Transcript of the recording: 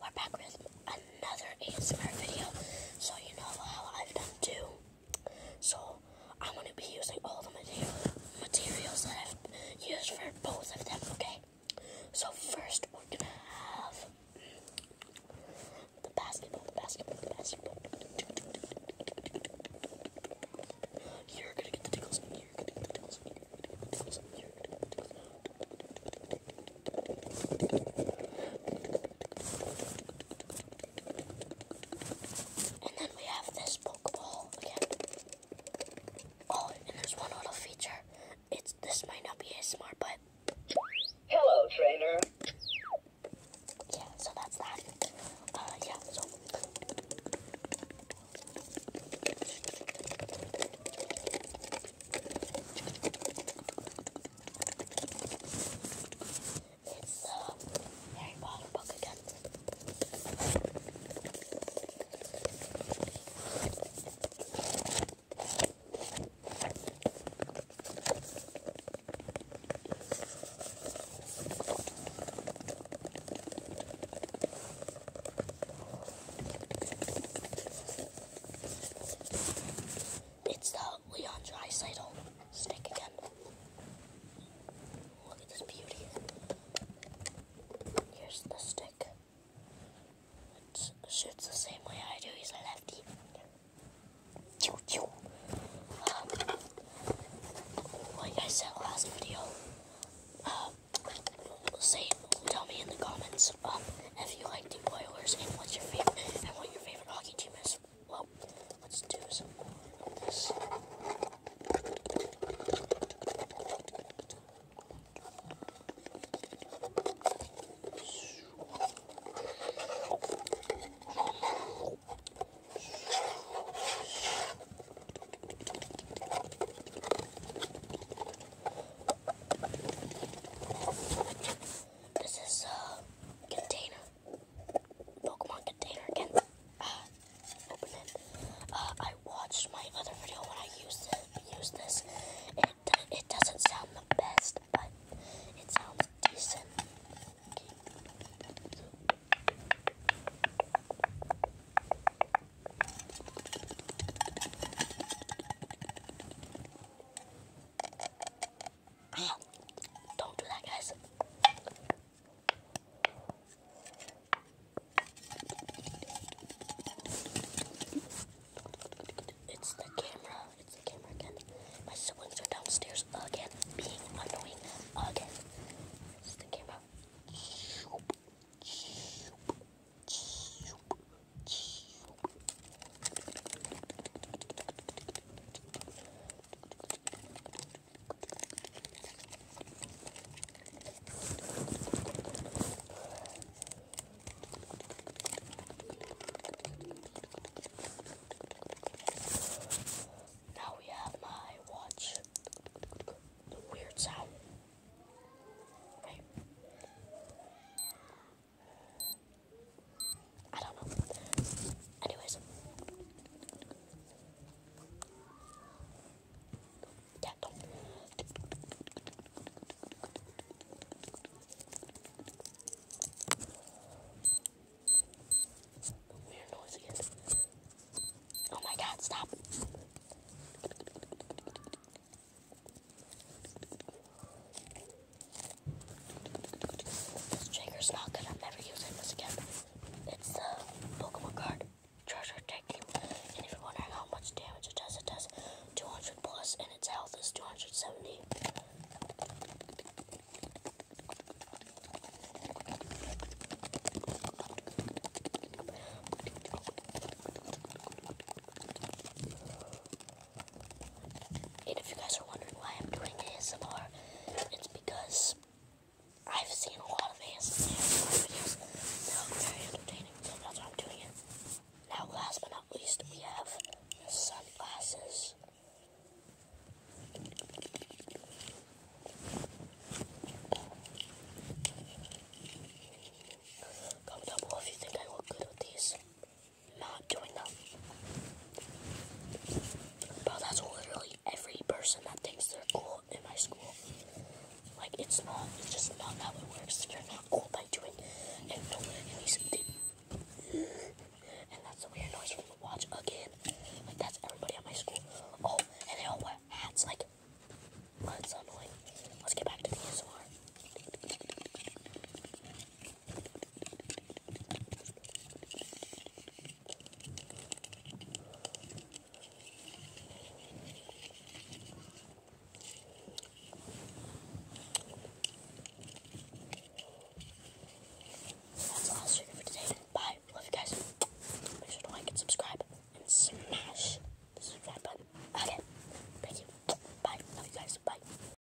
We're back with another ASMR video. So you know how I've done two. So I'm gonna be using all the material materials that I've used for both of them, okay? So first we're gonna have the basketball, the basketball, the basketball. You're gonna get the tickles, you're gonna get the tickles, you're gonna get the tickles, you're gonna get the tickles, and then we have this Pokeball again. Oh, and there's one little feature. It's this might not be as smart, but hello, trainer. Yeah, so that's that. Uh, yeah, it's the uh, Harry Potter book again. It's the Leon Dreisaitl stick again. Look at this beauty. Here's the stick. It shoots the same way I do. He's a lefty. Um, like I said last video, uh, say, tell me in the comments um, if you like the Oilers and what's your favorite and what your favorite hockey team is. Well, let's do some this is a uh, container, Pokemon container again. Uh, open it. Uh, I watched my other video when I used used this. It it doesn't sound the best but it sounds decent. Don't do that, guys. It's the camera. It's the camera again. My siblings are downstairs again, being annoying again. It's the camera. Now we have my watch. The weird sound. I don't know. Anyways. Oh my god, stop. This trigger's not good. I'm never using this again. It's a Pokemon card. Treasure Technique. And if you're wondering how much damage it does, it does 200 plus, and its health is 270. And if you guys are wondering why I'm doing ASMR, it's because I've seen a lot of ASMR videos. They look very entertaining, so that's why I'm doing it. Now, last but not least, we have sunglasses. Comment down below if you think I look good with these. Not doing them. But that's literally every person that thinks they're cool in my school. Like, it's not, it's just not how it works. You're not cool by doing and and that's the weird noise from the watch again. Like, that's everybody at my school. Oh, and they all wear hats. Like, that's annoying. Let's get back to the ASMR. That's all for today. Bye. Love you guys. Make sure to like and subscribe and smash the subscribe button. Okay. Thank you. Bye. Love you guys. Bye.